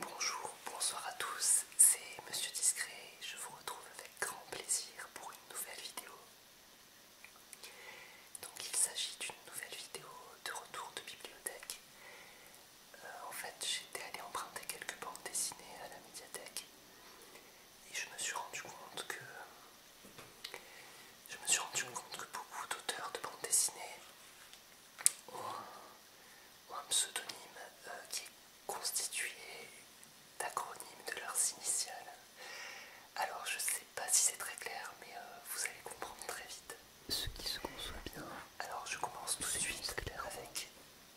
Bonjour, bonsoir à tous, c'est Monsieur Discret, je vous retrouve avec grand plaisir pour une nouvelle vidéo. Donc il s'agit d'une nouvelle vidéo de retour de bibliothèque. Euh, en fait j'étais allé emprunter quelques bandes dessinées à la médiathèque et je me suis rendu compte que je me suis rendu compte que beaucoup d'auteurs de bande dessinée ont un, pseudonyme euh, qui est constitué d'acronymes de leurs initiales. Alors je sais pas si c'est très clair, mais euh, vous allez comprendre très vite. Ce qui se conçoit bien. Alors je commence tout de suite avec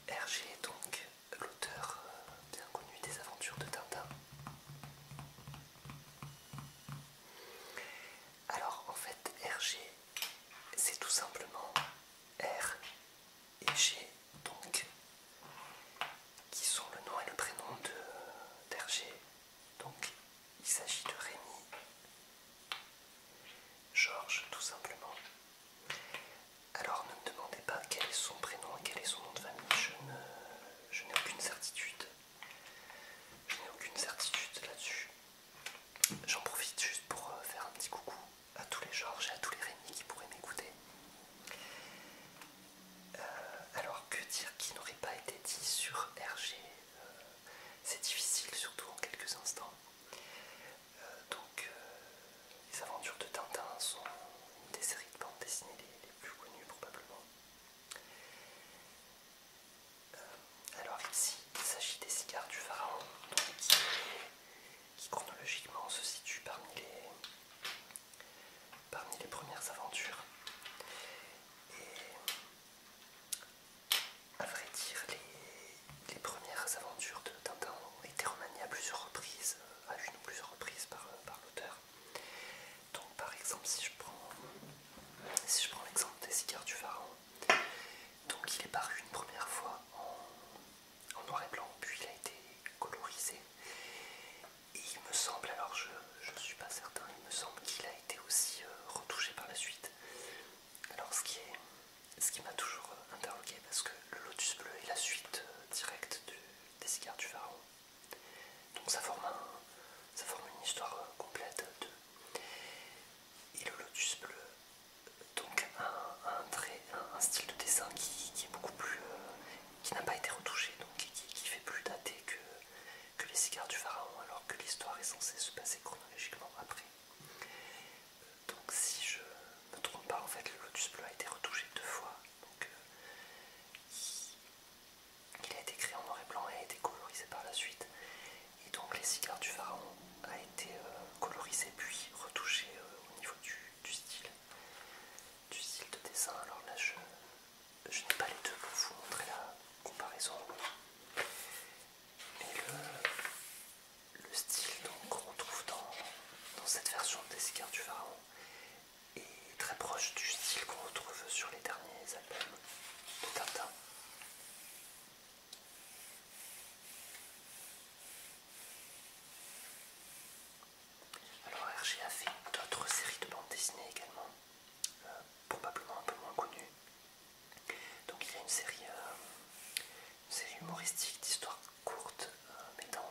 Hergé, donc l'auteur euh, bien connu des aventures de Tintin. Alors en fait RG c'est tout simplement R et G donc qui sont le nom et le prénom de Donc il s'agit de Rémi, Georges tout simplement. Alors ne me demandez pas quel est son prénom et quel est son nom de famille, je n'ai aucune certitude. Je n'ai aucune certitude là-dessus. J'en profite juste pour euh, faire un petit coucou à tous les Georges et à tous les Rémi qui pourraient m'écouter. Euh, alors que dire qui n'aurait pas été dit sur RG euh, C'est difficile surtout en quelques instants. donc les aventures de Tintin sont une des séries de bande dessinée les plus connues probablement alors ici, il s'agit des cigares du pharaon, qui, chronologiquement se situe parmi les, parmi les premières aventures. Et à vrai dire, les, premières aventures de Tintin ont été remaniées à plusieurs reprises, euh, à une ou plusieurs reprises par, par l'auteur. Donc par exemple si je prends si je prends l'exemple des cigares du pharaon, donc il est paru une première fois en, noir et blanc, puis il a été colorisé. Et il me semble, alors je ne suis pas certain, il me semble qu'il a été aussi euh, retouché par la suite. Alors ce qui, est, ce qui m'a toujours euh, interrogé, parce que le lotus bleu est la suite euh, directe des cigares du pharaon. Donc ça forme, ça forme une histoire complète de et le lotus bleu, donc un, style de dessin qui, est beaucoup plus. Euh, qui n'a pas été retouché, donc qui, fait plus dater que, les cigares du pharaon, alors que l'histoire est censée se passer chronologiquement après. Donc si je ne me trompe pas, en fait, le lotus bleu a été retouché deux fois. Euh, il a été créé en noir et blanc et a été colorisé par la suite. Et donc les cigares du pharaon a été colorisés euh, colorisé puis retouché euh, au niveau du, style. Du style de dessin. Alors là je, n'ai pas les deux pour vous montrer la comparaison. Mais le, style qu'on retrouve dans, cette version des cigares du pharaon est très proche du style qu'on retrouve sur les derniers albums de Tata. Alors Hergé a fait d'autres séries de bande dessinée également, euh, probablement un peu moins connues. Donc il y a une série, euh, humoristique d'histoires courtes euh, mettant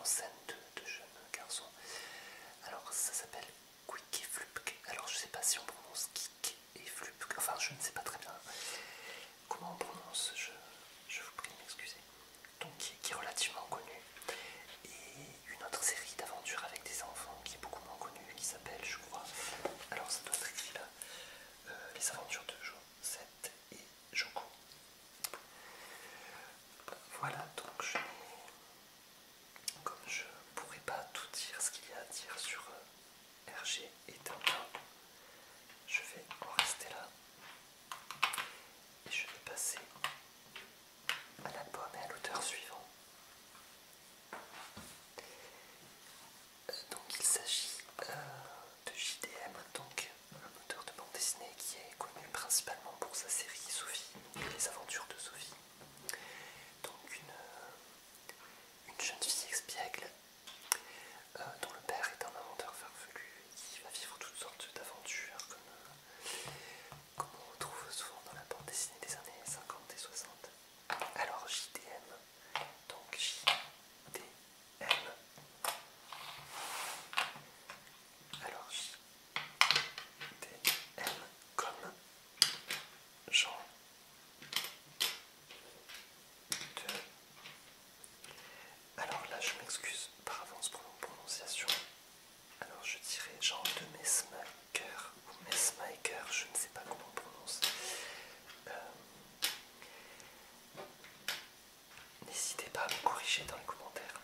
en, scène deux de jeunes garçons. Alors ça s'appelle Quick et Flupke. Alors je sais pas si on prononce Kik et Flupke, enfin je ne sais pas très bien euh, comment on prononce, je, vous prie de m'excuser. Donc qui, est relativement connu. Et une autre série d'aventures avec des enfants qui est beaucoup moins connue, qui s'appelle je crois, alors ça doit être écrit là, euh, Les aventures de Josette et Joko. Voilà, donc je comme je ne pourrais pas tout dire ce qu'il y a à dire sur euh, RG et Tintin, je vais en rester là et je vais passer à l'album et à l'auteur suivant. Euh, donc il s'agit euh, de JDM, donc un auteur de bande dessinée qui est connu principalement pour sa série Sophie et les aventures de Sophie. Donc une, une jeune fille expiègle euh, dont le père est un inventeur farfelu qui va vivre toutes sortes d'aventures comme, euh, on retrouve souvent dans la bande dessinée des années 50 et 60. Alors JDM, donc JDM. Alors JDM comme Jean de... Alors là, je m'excuse par avance pour mon prononciation. Alors je dirais Jean de Messmaker ou Messmaker, je ne sais pas comment on prononce. Euh, n'hésitez pas à me corriger dans les commentaires.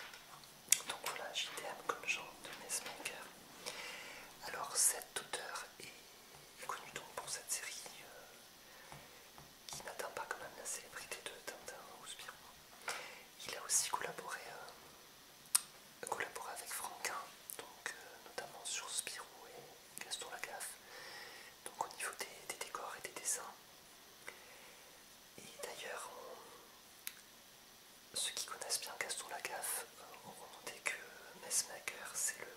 Donc voilà, j'étais comme Jean de Messmaker. Alors cet auteur est connu pour cette série euh, qui n'atteint pas quand même la célébrité de Tintin ou Spirou. Il a aussi collaboré, euh, collaboré avec Franquin, donc euh, notamment sur Spirou et Gaston Lagaffe, donc au niveau des, des décors et des dessins. Et d'ailleurs, ceux qui connaissent bien Gaston Lagaffe auront euh, noté que Messmaker, c'est le,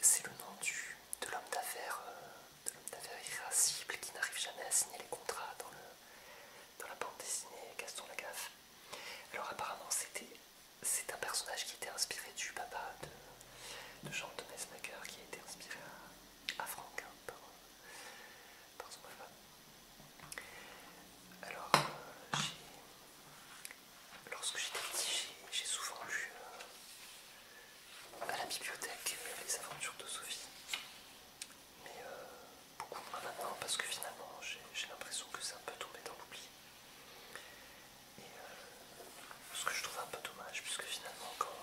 c'est le nom du, euh, de l'homme d'affaires irascible qui n'arrive jamais à signer les contrats dans, dans la bande dessinée Gaston Lagaffe. Alors apparemment, c'était, c'est un personnage qui était inspiré du papa de, Jean de Messmaker, qui a été inspiré à, Franck par son papa. Alors, euh, lorsque j'étais petit, j'ai souvent lu euh, à la bibliothèque euh, les aventures de Sophie. Mais beaucoup moins maintenant parce que finalement j'ai l'impression que c'est un peu tombé dans l'oubli. Et ce que je trouve un peu dommage puisque finalement quand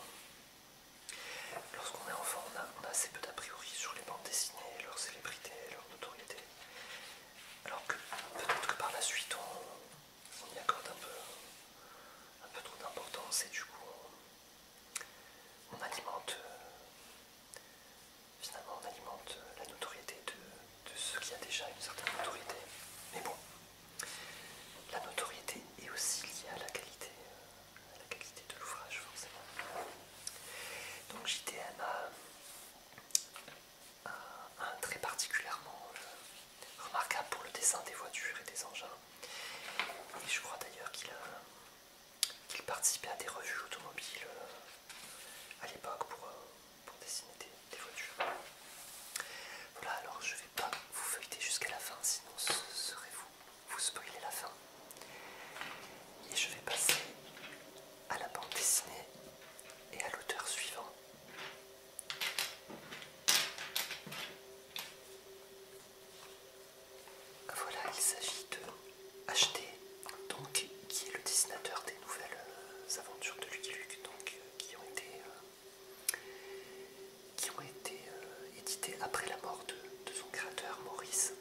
lorsqu'on est enfant on a, on a assez peu d'a priori sur les bandes dessinées, leur célébrité, leur notoriété alors que peut-être que par la suite on, y accorde un peu, un peu trop d'importance et du coup on, alimente euh, euh, la notoriété de, ceux qui a déjà une certaine notoriété. Mais bon, la notoriété est aussi liée à la qualité, euh, à la qualité de l'ouvrage forcément. Donc JTM a euh, un, très particulièrement euh, remarquable pour le dessin des voitures et des engins. Et je crois d'ailleurs qu'il euh, participait à des revues automobiles à l'époque pour, dessiner des, voitures. Voilà, alors je ne vais pas vous feuilleter jusqu'à la fin, sinon ce serait vous vous spoiler la fin. Et je vais passer à la bande dessinée et à l'auteur suivant. Voilà, il s'agit de H.T. donc qui est le dessinateur des nouvelles euh, aventures de Lucky Luke, donc euh, qui ont été, euh, qui ont été éditées après la mort de, son créateur Maurice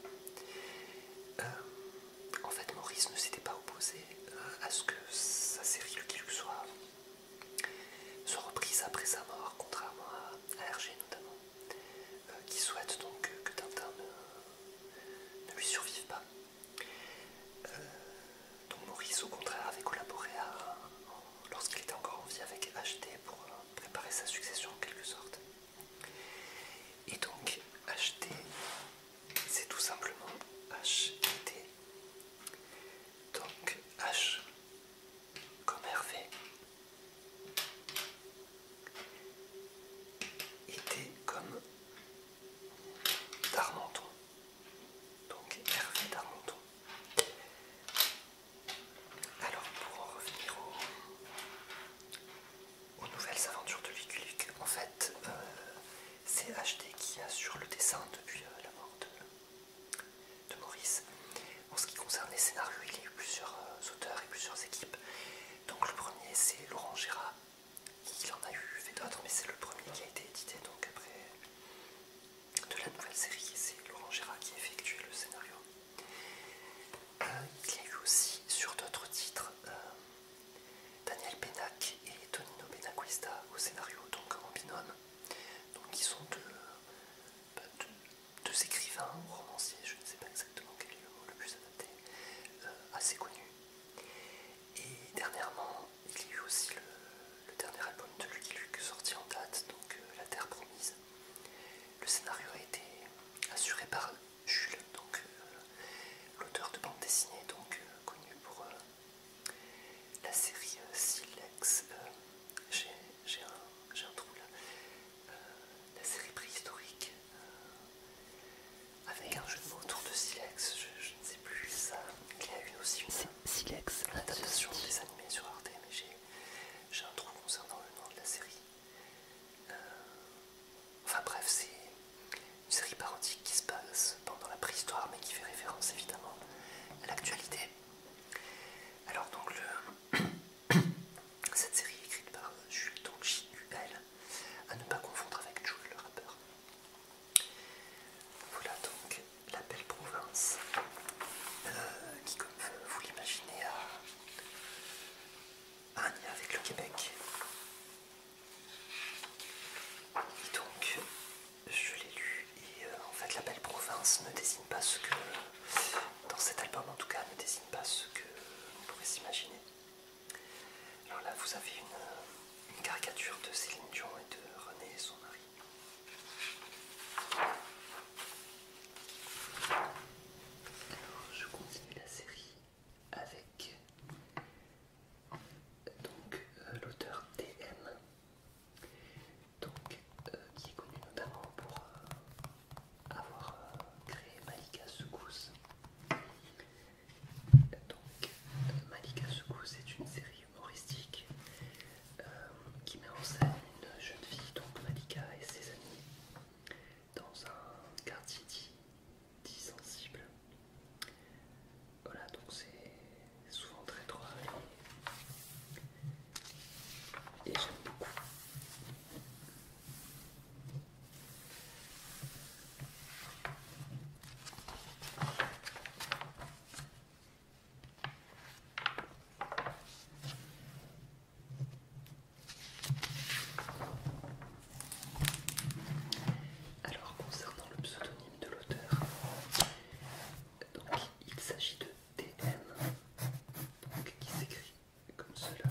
en fait Maurice ne s'était pas opposé euh, à ce que sa série le que soit, soit reprise après sa mort, contrairement à, Hergé notamment, euh, qui souhaite donc que, Tintin ne, lui survive pas. Euh, donc Maurice au contraire avait collaboré lorsqu'il était encore en vie avec H.T. pour préparer sa succession en quelque sorte. Et donc, acheter, c'est tout simplement H-I-T. Donc, H comme Hervé, Et T comme Darmenton. Donc, Hervé Darmenton. Alors, pour en revenir au aux nouvelles aventures de Lucky En fait, euh, c'est HD qui assure le dessin depuis euh, la mort de, Maurice. En ce qui concerne les scénarios, il y a eu plusieurs euh, auteurs et plusieurs équipes. Donc le premier, c'est Laurent Gérard. Il en a eu fait d'autres, mais c'est le premier qui a été édité donc après de la nouvelle série. c'est Laurent Gérard qui a effectué le scénario. il y a eu aussi sur d'autres titres Daniel Pénac et Tonino Benacuista au scénario, donc en binôme. Donc ils sont bah, deux, deux, écrivains ou romanciers, je ne sais pas exactement quel est le mot le plus adapté, euh, assez connus. Et dernièrement, il y a eu aussi le, dernier album de Lucky Luke sorti en date, donc euh, La Terre Promise. Le scénario a été assuré par Jules, donc euh, l'auteur de bande dessinée, donc euh, connu pour euh, la série Silex. J'ai un, trou là. la série préhistorique avec un jeu de autour de Silex, je, ne sais plus ça. Il y a eu aussi une Silex adaptation des animés sur Arte, mais j'ai un trou concernant le nom de la série enfin bref, c'est une série parodique qui se passe pendant la préhistoire, mais qui fait référence évidemment à l'actualité. Alors donc le cette série est écrite par Jules, donc j à ne pas confondre avec Jules le rappeur. Voilà donc la belle province euh, qui, comme vous l'imaginez, a un lien avec le Québec. Et donc, je l'ai lu, et euh, en fait, la belle province ne désigne pas ce que. Dans cet album, en tout cas, ne désigne pas ce que vous pourrait s'imaginer. Alors là, vous avez une, une caricature de Céline Dion et de René et son mari. Alors, je continue la série avec euh, l'auteur DM euh, qui est connu notamment pour euh, avoir créé Malika Soukous. Malika Soukous est une série humoristique qui met en scène une jeune fille, donc Malika et ses amis, dans un quartier dit, sensible. Voilà, donc c'est souvent très droit et j'aime beaucoup. Alors concernant le pseudonyme de l'auteur, donc il s'agit de TM, donc, qui s'écrit comme cela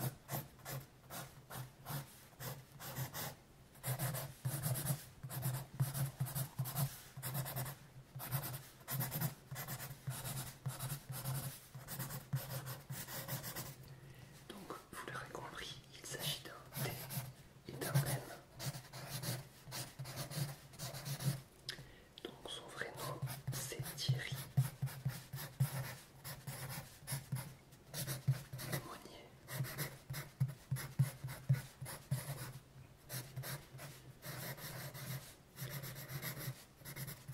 vous l'aurez compris, il s'agit d'un T et d'un M. Donc son vrai nom, c'est Thierry Monnier.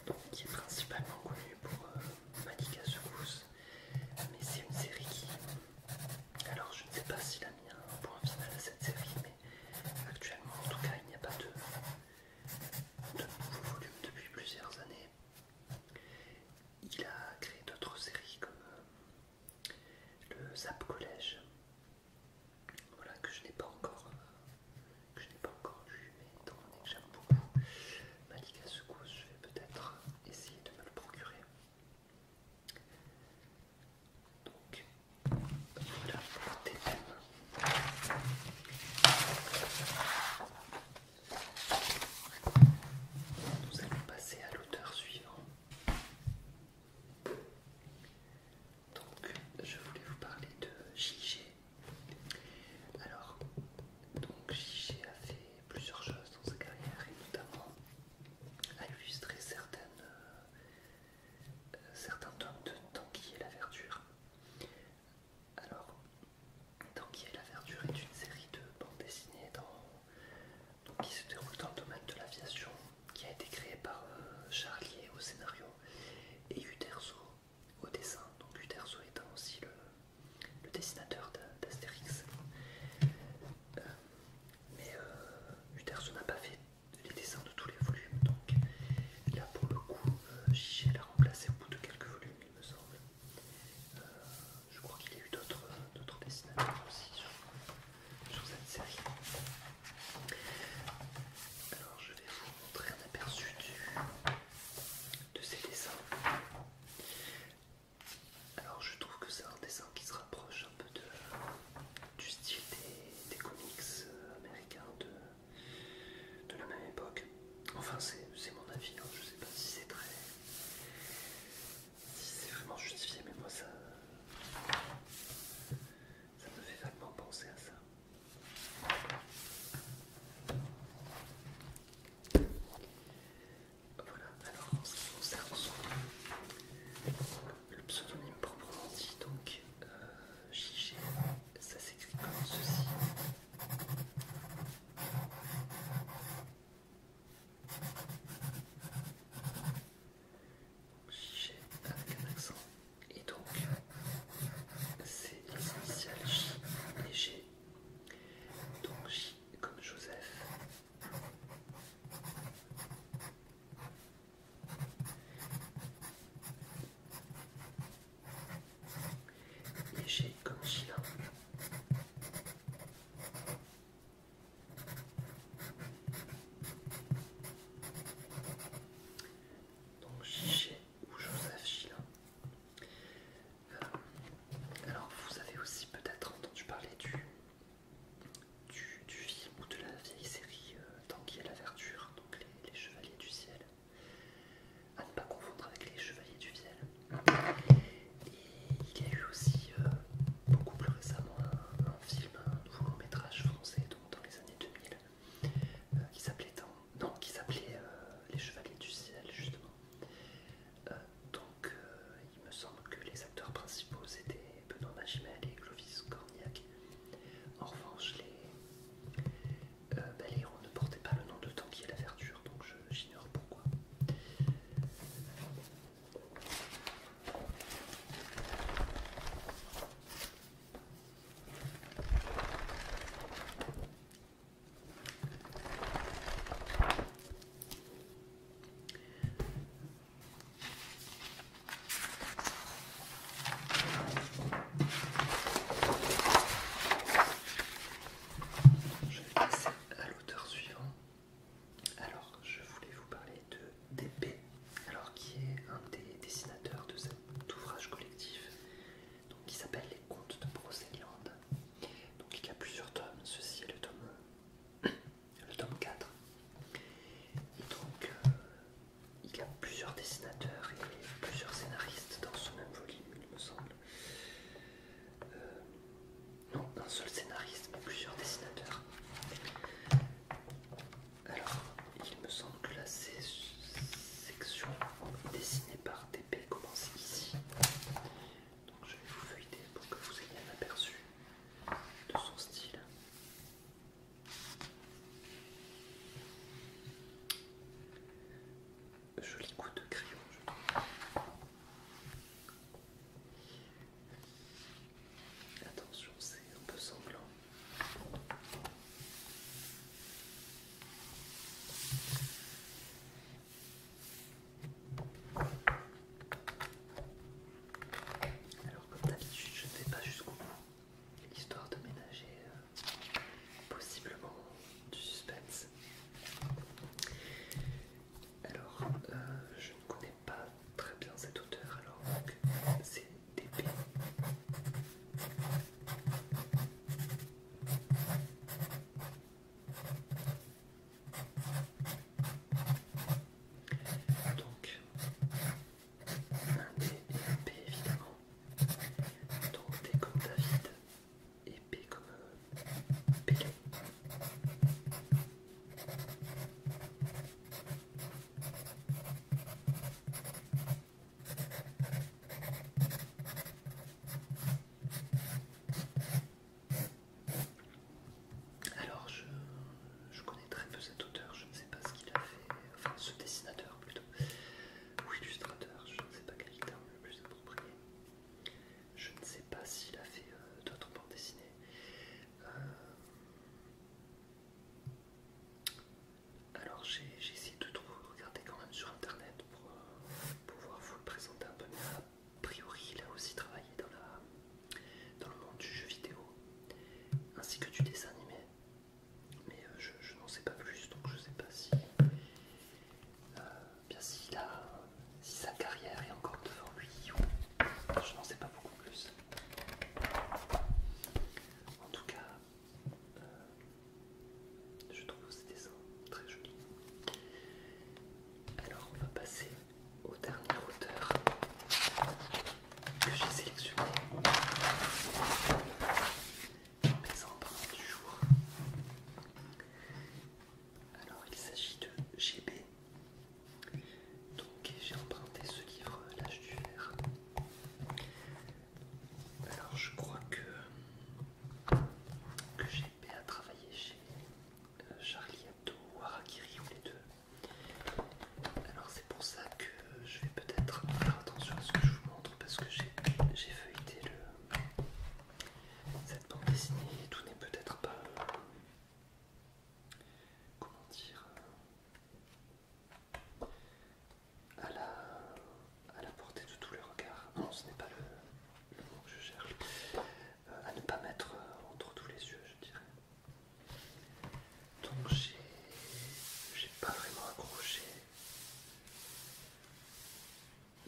Donc, qui est principalement connu pour euh, Malika mais c'est une série qui... Alors je ne sais pas s'il a mis un point final à cette série, mais actuellement en tout cas il n'y a pas de, nouveau volume depuis plusieurs années. Il a créé d'autres séries comme euh, le Zap Collège, voilà que je n'ai pas encore je n'ai pas encore mais étant donné que j'aime beaucoup Malika je vais peut-être essayer de me le procurer. Donc voilà pour TM. Nous allons passer à l'auteur suivant. Donc je voulais vous parler de JG. Alors donc a fait plusieurs choses dans sa carrière et notamment a illustré certaines, euh, certains tomes de Tanguy et la Verdure. Alors, Tanguy et la Verdure est une série de bandes dessinées dans, qui se déroule dans le domaine de l'aviation, qui a été créée par euh, Charlier au scénario et Uterso au dessin. Donc Uderzo étant aussi le le dessinateur d'Astérix. Euh, mais euh, n'a pas fait les dessins de tous les volumes, donc là pour le coup, euh, l'a remplacé au bout de quelques volumes, il me semble. Euh, je crois qu'il y a eu d'autres dessinateurs aussi sur, cette série. Alors je vais vous montrer un aperçu de ces dessins. Alors je trouve que c'est un dessin qui se rapproche un peu de, du style des, comics euh, américains de, la même époque. Enfin c'est mon avis, Je hein. je sais pas si c'est très... si c'est vraiment justifié, mais moi ça me fait vaguement penser à ça. Voilà, alors on ce qui concerne le pseudonyme proprement dit, donc euh, ça s'écrit comme ceci. JG avec un accent. Et donc, c'est les initiales J et G. Donc J comme Joseph. Et j'ai comme Sheila Donc Gigé ou Joseph Sheila alors, vous avez aussi peut-être entendu parler du, du, film ou de la vieille série Tant euh, Tanguy à la Verdure, donc les, Chevaliers du Ciel, à ne pas confondre avec les Chevaliers du Ciel. Et il y a eu aussi, euh, beaucoup plus récemment, un, film, un nouveau long métrage français, donc dans les années 2000, euh, qui s'appelait Les Chevaliers du Ciel, justement. Donc, il me semble que les acteurs principaux c'était Benoît Magimel et Clovis Cornillac. En revanche, les, euh, bah, héros ne portaient pas le nom de Tanguy et la Verdure, donc j'ignore pourquoi. Je vais passer à l'auteur suivant. Alors, je voulais vous parler de Dépé, alors qui est un des dessinateurs de cet ouvrage collectif, donc qui s'appelle Les Contes de Brocéliande. Donc il y a plusieurs tomes, ceci est le tome, le tome 4. Et donc euh, il y a plusieurs dessinateurs et plusieurs scénaristes dans ce même volume, il me semble. Euh, non, un seul scénariste, mais plusieurs dessinateurs. Alors, il me semble que la section dessinée par TP commence ici donc je vais vous feuilleter pour que vous ayez un aperçu de son style. Joli coup de crayon, je trouve. Attention, c'est un peu sanglant. Alors comme d'habitude je ne vais pas jusqu'au bout, histoire de ménager euh, possiblement du suspense. Alors euh, je ne connais pas très bien cette auteur, alors c'est d'épée. Ah, donc, un D évidemment. Donc, D comme David et P comme euh, alors, je, connais très peu cet auteur, je ne sais pas ce qu'il a fait, enfin ce dessinateur plutôt, ou illustrateur, je ne sais pas quel terme le plus approprié. Je ne sais pas s'il a fait euh, d'autres bandes dessinées. Euh, alors j'ai essayé de regarder quand même sur internet pour euh, pouvoir vous le présenter un peu mieux a priori, il a aussi travaillé dans, le monde du jeu vidéo, ainsi que du dessin animé. Mais euh, je, n'en sais pas plus, donc je ne sais pas si, euh, bien si, sa carrière est encore devant lui. je n'en sais pas beaucoup plus. En tout cas, euh, je trouve ces dessins très jolis. Alors on va passer au dernier auteur que j'ai sélectionné. Mes empreintes du jour. Alors il s'agit de GB. Donc j'ai emprunté ce livre L'âge du fer. Alors je crois que, que à à travailler chez euh, Charlie Hebdo ou Harakiri ou les deux. Alors c'est pour ça que je vais peut-être faire attention à ce que je vous montre parce que j'ai feuilleté le, cette bande dessinée et tout n'est peut-être pas... comment dire euh, à la, à la portée de tous les regards. Non, ce n'est pas le, le mot que je cherche. Euh, à ne pas mettre euh, entre tous les yeux, je dirais. Donc j'ai pas vraiment accroché.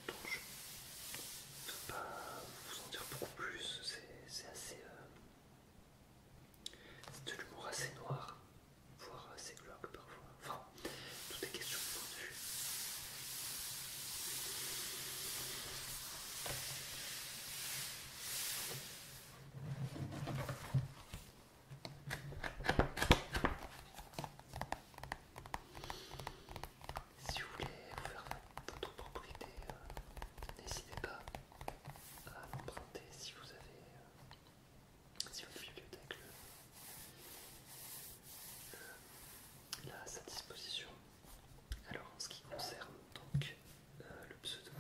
Donc je peux pas vous en dire beaucoup plus. C'est assez. Euh, c'est de l'humour assez noir, voire assez glauque parfois. Enfin, tout est question si vous voulez faire votre propriété, euh, n'hésitez pas à l'emprunter si vous avez euh, si votre bibliothèque le, l'a à sa disposition. Alors en ce qui concerne donc euh, le pseudo,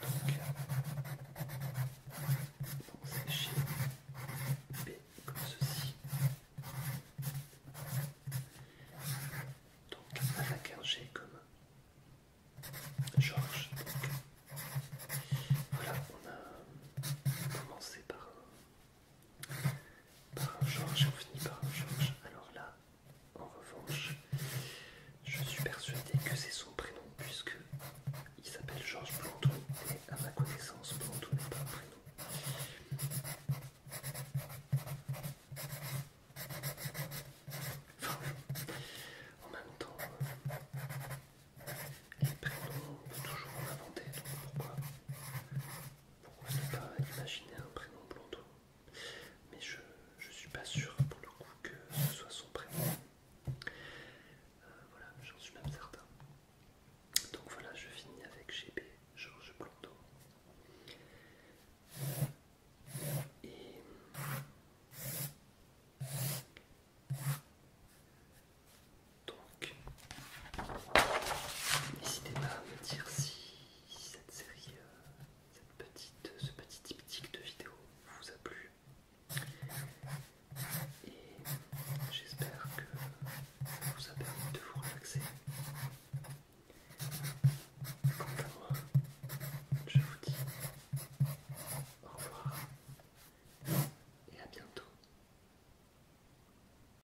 donc c'est G, B comme ceci. Donc avec un G comme Georges. Voilà, on a commencé par par Georges, on finit par Georges. Alors là, en revanche, je suis persuadé que c'est son prénom puisque il s'appelle Georges Planton et à ma connaissance, Planton n'est pas un prénom. en même temps, euh, les prénoms on peut toujours en inventer, pourquoi pourquoi ne pas imaginer un prénom Blondot Mais je, je suis pas sûr pour le coup que ce soit son prénom. Euh, voilà, j'en suis même certain. Donc voilà, je finis avec GB, Georges Blondot. Et donc n'hésitez pas à me dire si cette série, euh, euh, ce petit tip-tip de vidéo vous a plu. Et j'espère que ça vous a permis de vous relaxer. Quant à moi, je vous dis au revoir et à bientôt.